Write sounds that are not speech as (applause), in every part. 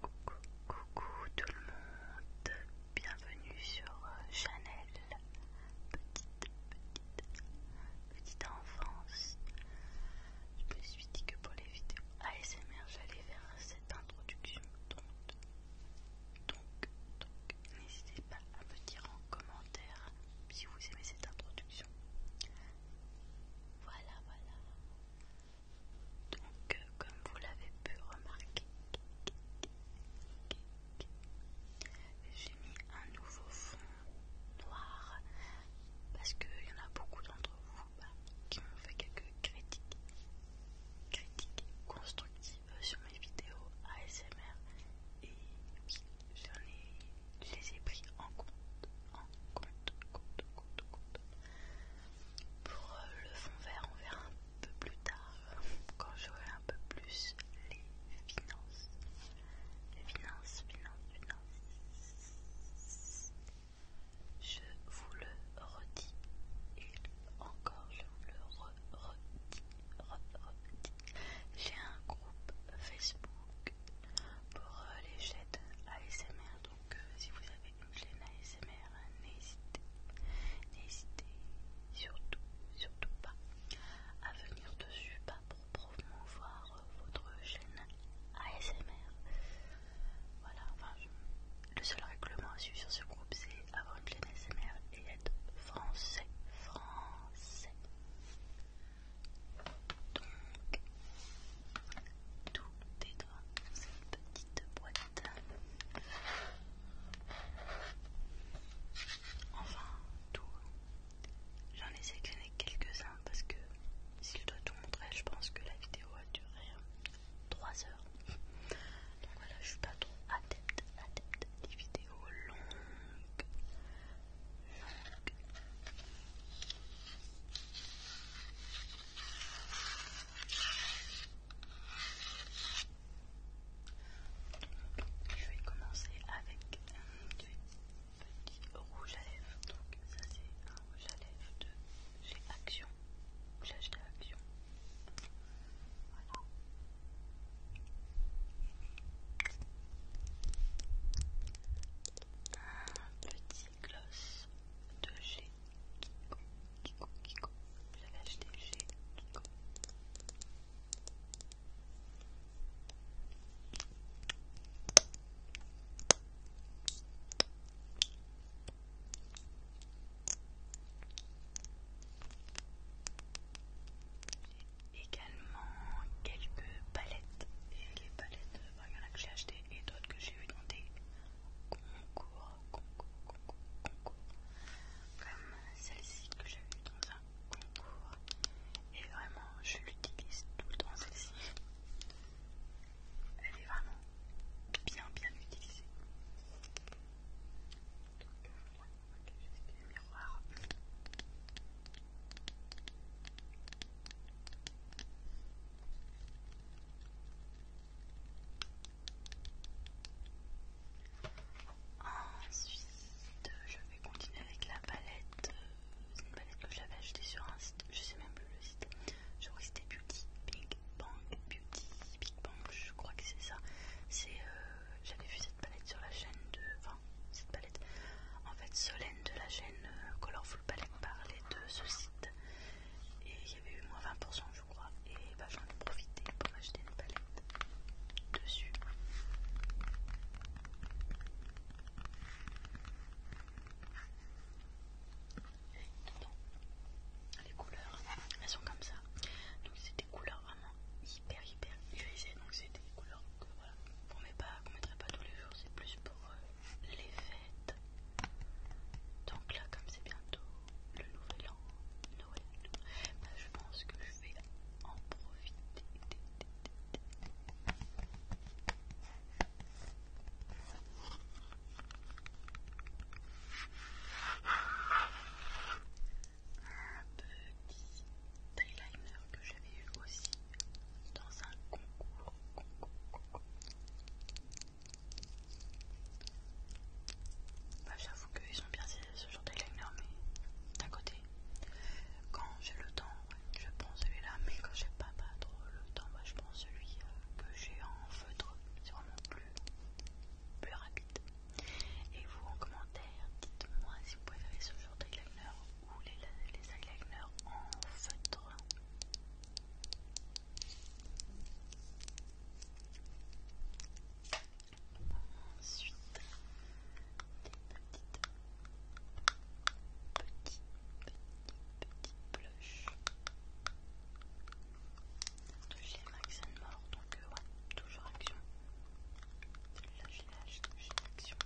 coucou, coucou, tout le monde, bienvenue sur euh, Chanel, petite, petite, petite enfance. Je me suis dit que pour les vidéos ASMR, j'allais faire cette introduction, donc, donc, n'hésitez pas à me dire en commentaire si vous aimez cette introduction. Voilà, voilà. Donc, euh, comme vous l'avez pu remarquer, j'ai mis un nouveau fond noir parce qu'il y en a beaucoup d'entre vous bah, qui m'ont fait quelques critiques, constructives sur mes vidéos ASMR et j'en je les ai pris en compte. Pour le fond vert, on verra un peu plus tard quand j'aurai un peu plus les finances. Les finances, finances, finances. Je vous le redis et encore je vous le redis, J'ai un groupe Facebook pour les chaînes ASMR donc euh, si vous avez chaîne ASMR, n'hésitez, n'hésitez surtout, surtout pas à venir dessus, pas pour promouvoir euh, votre chaîne ASMR. Voilà, enfin, le seul règlement à suivre sur ce groupe, c'est avoir une chaîne ASMR et être français, français. Donc, tout est dans cette petite boîte Enfin, tout. J'en ai sélectionné quelques-uns parce que si je dois tout montrer, je pense que la vidéo a duré 3 euh, heures. Donc voilà, je suis pas trop adepte, adepte des vidéos longues je vais commencer avec un petit rouge à lèvres. Donc, ça, c'est un rouge à lèvres de chez Action. J'ai acheté Action. Voilà. Un petit gloss de chez Kiko, Kiko. Kiko, acheté chez Kiko. J'ai également quelques palettes. Et les palettes, euh, bah, il y en a que j'ai achetées et d'autres que j'ai eu dans concours, concours, concours, concours, comme celle-ci que j'ai eue dans un concours, et vraiment je l'utilise tout le temps celle-ci. Elle est vraiment bien bien utilisée. Donc, Ok, le miroir. Ensuite, je vais continuer avec la palette. C'est euh, une palette que j'avais achetée sur un site, je sais même plus le site. Je crois que c'était Beauty Big Bang, Beauty Big Bang, je crois que c'est ça. C'est, euh, j'avais vu cette palette sur la chaîne de, enfin cette palette. En fait, Solène de la chaîne euh, Colorful palette voulais de ce site et il y avait eu moins 20% je crois et bah, j'en ai profité pour m'acheter une palette dessus les couleurs elles sont comme ça donc c'est des couleurs vraiment hyper hyper utilisées donc c'est des couleurs que voilà qu'on ne mettrait pas tous les jours c'est plus pour euh, les fêtes. Donc là, comme c'est bientôt le nouvel an, Noël, bah, je pense que je vais en profiter. Un petit eyeliner que j'avais eu aussi dans un concours. Bah, j'avoue qu'ils sont bien ce genre d'eyeliner, mais d'un côté, quand j'ai le temps, je prends celui-là, mais quand j'ai pas, pas trop le temps, bah, je prends celui euh, que j'ai en feutre, c'est vraiment plus, plus rapide. Et vous en commentaire, dites-moi si vous préférez ce genre d'eyeliner ou les, les eyeliner en feutre. Ensuite, des petites, petites petites petites blushs de chez Max mort donc euh, ouais, toujours action. Là, je l'ai acheté chez Action.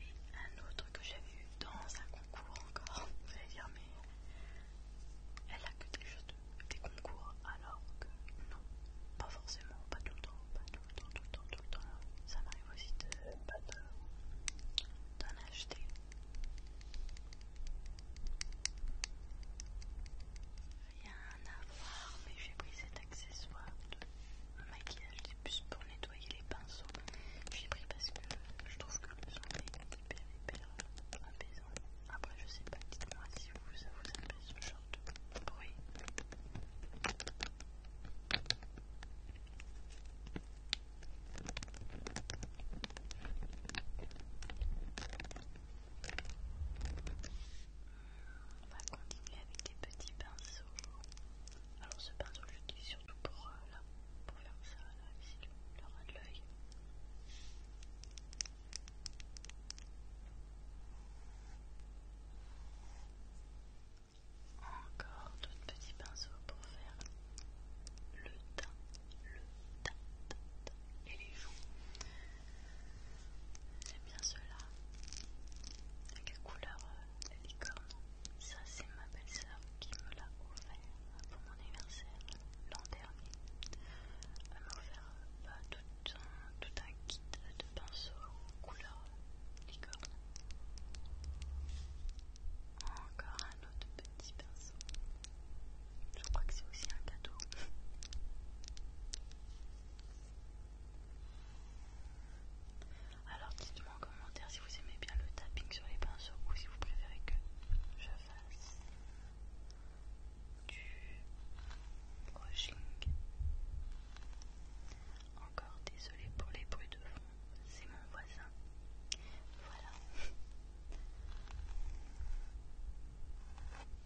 Et un autre que j'avais eu dans un concours encore, vous allez dire, mais elle a que des, choses des concours alors que non, pas forcément, pas tout le temps, pas tout le temps, tout le temps, tout le temps. Ça m'arrive aussi de bah, d'en acheter. Rien à voir, mais j'ai pris cette accessoires, de maquillage des puces pour nettoyer les pinceaux. J'ai pris parce que je trouve que le son est hyper hyper apaisant. Après je sais pas, dites-moi si vous ça vous apaise ce genre de bruit. On va continuer avec des petits pinceaux. Alors ce pinceau je l'utilise surtout pour, euh, pour faire ça, là, ici, le ras de l'œil. Encore d'autres petits pinceaux pour faire le teint, le teint et les joues. J'aime bien cela quelle Avec la couleur de euh, licorne. Ça, c'est ma belle-sœur qui me l'a offert euh, pour mon anniversaire l'an dernier. Elle m'a offert euh, bah, tout, un, kit de pinceaux couleur licorne. Encore un autre petit pinceau. Je crois que c'est aussi un cadeau. (laughs) Alors dites-moi en commentaire si vous aimez bien le tapping sur les pinceaux ou si vous préférez que je fasse du brushing. Encore désolé pour les bruits de fond, c'est mon voisin. Voilà. (laughs)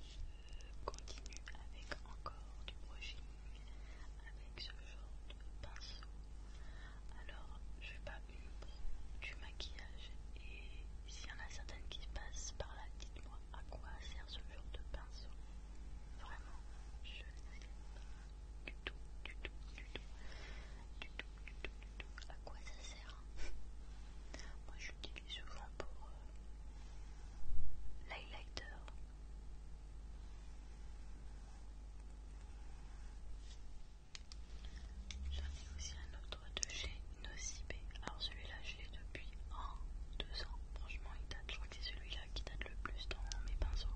Je Continue avec encore du brushing avec ce genre de pinceau. Alors, je fais pas une du maquillage et s'il y en a certaines qui passent par là, dites-moi à quoi sert ce genre de pinceau. Vraiment, je ne sais pas du tout, du tout, du tout, du tout, du tout, du tout, à quoi ça sert. (laughs) Moi, j'utilise souvent pour euh, l'highlighter. J'en ai aussi un autre de chez Nocibe, Alors celui-là, j'ai depuis un, deux ans. Franchement, il date. Je crois que c'est celui-là qui date le plus dans mes pinceaux.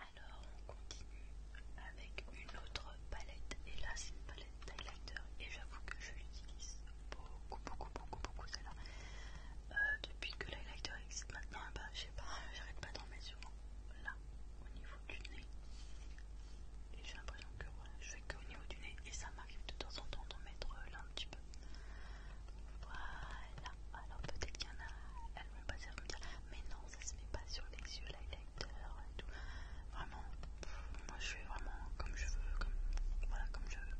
Alors on continue avec une autre palette et là c'est une palette d'highlighter et j'avoue que je l'utilise beaucoup beaucoup beaucoup beaucoup celle-là euh, depuis que l'highlighter existe maintenant bah je sais pas (laughs) j'arrête pas d'en mettre souvent là au niveau du nez et j'ai l'impression que voilà je au niveau du nez et ça m'arrive de temps en temps d'en mettre euh, là un petit peu. Voilà, alors peut-être qu'il y en a, elles vont passer à me dire mais non ça se met pas sur les yeux, l'highlighter et tout. Vraiment, moi je fais vraiment comme je veux, comme voilà comme je veux.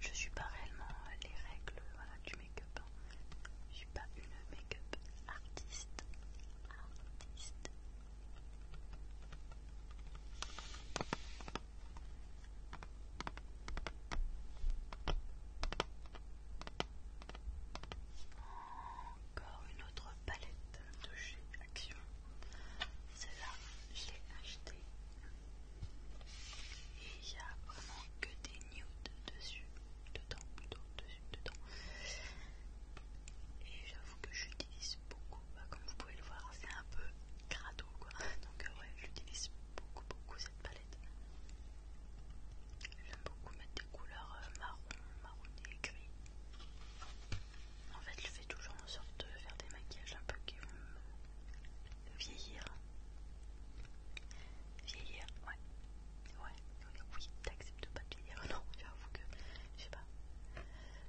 Je suis pas réellement euh, les règles voilà, du make-up. Hein. Je suis pas une make-up artiste. Artiste, encore une autre palette de chez Action. Celle-là, je l'ai achetée. Et il n'y a vraiment que des nudes dessus, dedans, dedans, dedans et j'avoue que j'utilise beaucoup, bah, comme vous pouvez le voir, c'est un peu crado quoi, donc euh, ouais, j'utilise beaucoup beaucoup cette palette. J'aime beaucoup mettre des couleurs euh, marron, marronné, gris. En fait, je fais toujours en sorte de faire des maquillages un peu qui vont vieillir. Vieillir, ouais. Ouais, oui, t'acceptes pas de vieillir. (laughs) Non, j'avoue que, je sais pas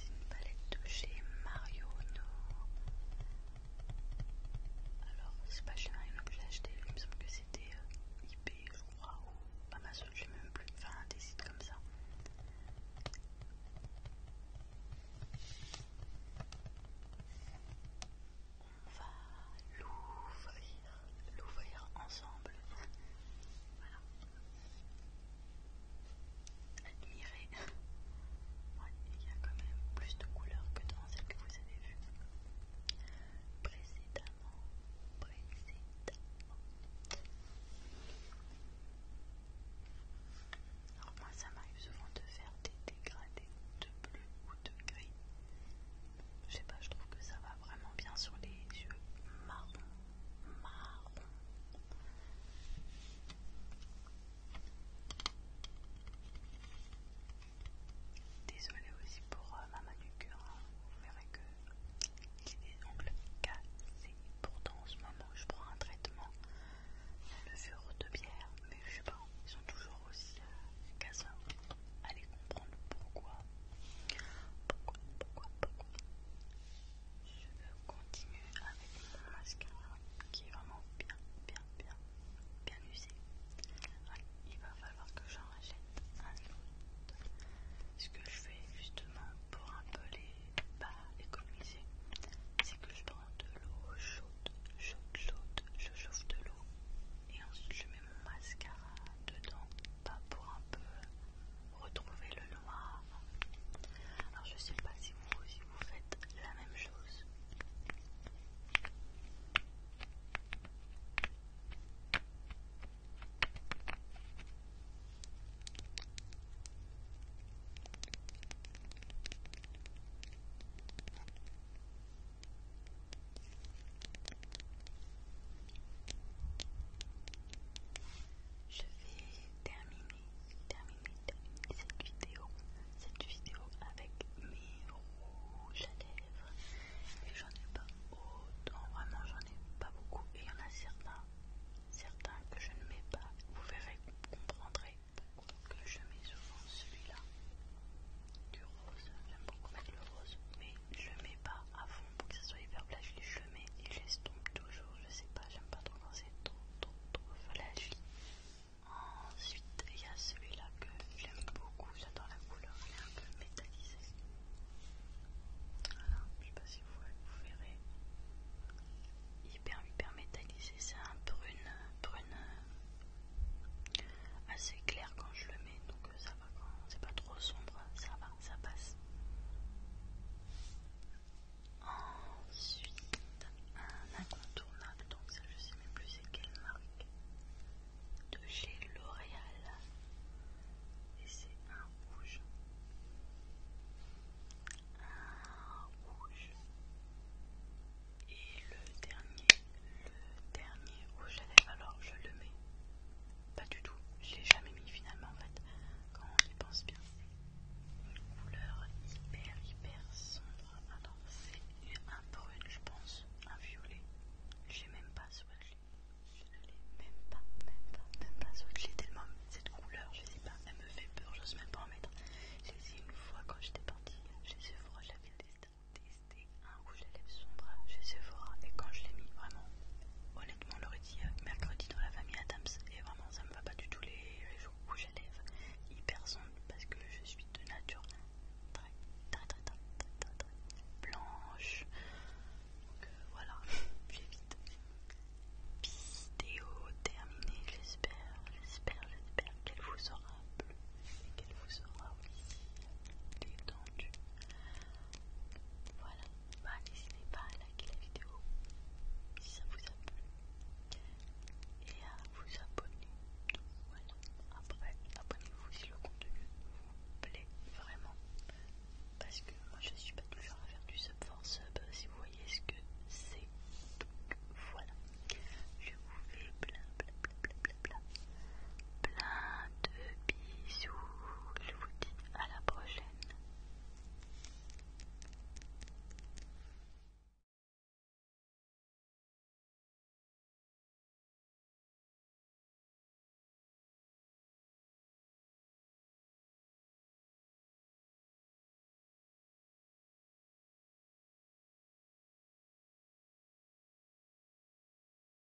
C'est une palette de chez Mario No. Alors, c'est pas chez Mario No que j'ai acheté, il me semble que c'était euh, IP, je crois, ou Amazon, je même plus, enfin des sites comme ça. On va l'ouvrir, l'ouvrir ensemble. voilà admirer. il y a quand même plus de couleurs que dans celles que vous avez vues précédemment. Précédemment. Alors moi ça m'arrive souvent de faire des dégradés de bleu ou de gris. Je sais pas, je trouve que ça va vraiment bien sur les yeux marron Marron. Désolée aussi pour euh, ma manucure, hein. vous verrez que j'ai des ongles cassés. Pourtant en ce moment je prends un traitement de levure de bière, mais je sais pas, ils sont toujours aussi euh, Allez comprendre pourquoi. Pourquoi, pourquoi, pourquoi je continue avec mon mascara qui est vraiment bien, bien, bien, bien usé. il va falloir que j'en rachète un autre. Ce que je fais justement pour un peu les pas bah, économiser, c'est que je prends de l'eau chaude, chaude, chaude, je chauffe de l'eau et ensuite je mets mon mascara dedans, pas pour un peu retrouver le alors je sais pas si vous, si vous faites la même chose je vais terminer, cette vidéo, cette vidéo avec mes rouges à lèvres. Et j'en ai pas autant, vraiment j'en ai pas beaucoup. Et il y en a certains, certains que je ne mets pas. Vous verrez, vous comprendrez que je mets souvent celui-là du rose. J'aime beaucoup mettre le rose, mais je le mets pas à fond pour que ça soit hyper les mais il est tombé toujours, je sais pas, j'aime pas trop quand c'est trop trop trop flashy. Ensuite, il y a celui-là que j'aime beaucoup, j'adore la couleur, il est un peu métallisé. Voilà, je sais pas si vous, vous verrez. Hyper hyper métallisé, c'est un brune, brune euh, assez clair quand je le mets, donc ça va quand c'est pas trop sombre, ça va ça passe. Ensuite, un incontournable, donc ça je sais même plus c'est quelle marque, de chez L'Oréal. Et c'est un rouge. Un rouge. Et le dernier, le dernier rouge alors je le mets pas du tout, je l'ai jamais mis finalement en fait, quand je pense bien. Une couleur hyper hyper sombre. Alors, c'est un brun, je pense, un violet. Je l'ai même pas swatché. Je ne l'ai même pas, même pas, même pas swatché tellement cette couleur, je sais pas, elle me fait peur, je n'ose même pas en mettre. Je l'ai essayé une fois quand j'étais partie sais Sephora, j'avais testé beaucoup les lèvres sombres chez Sephora et quand je l'ai mis vraiment honnêtement le dit euh, mercredi dans la famille Adams et vraiment ça me va pas du tout les, jours jours j'ai les lèvres hyper sombres parce que je suis de nature très très très très très, blanche donc euh, voilà (laughs) j'ai vite vidéo terminée j'espère j'espère j'espère qu'elle vous aura plu et qu'elle vous aura aussi détendu voilà, bah, n'hésitez pas à liker la vidéo si ça vous a plu et à vous abonner. après abonnez-vous si le contenu vous plaît vraiment. Parce que moi je suis pas toujours à faire du sub for sub si vous voyez ce que c'est. Donc voilà, je vous fais plein bla Plein de bisous. Je vous dis à la prochaine.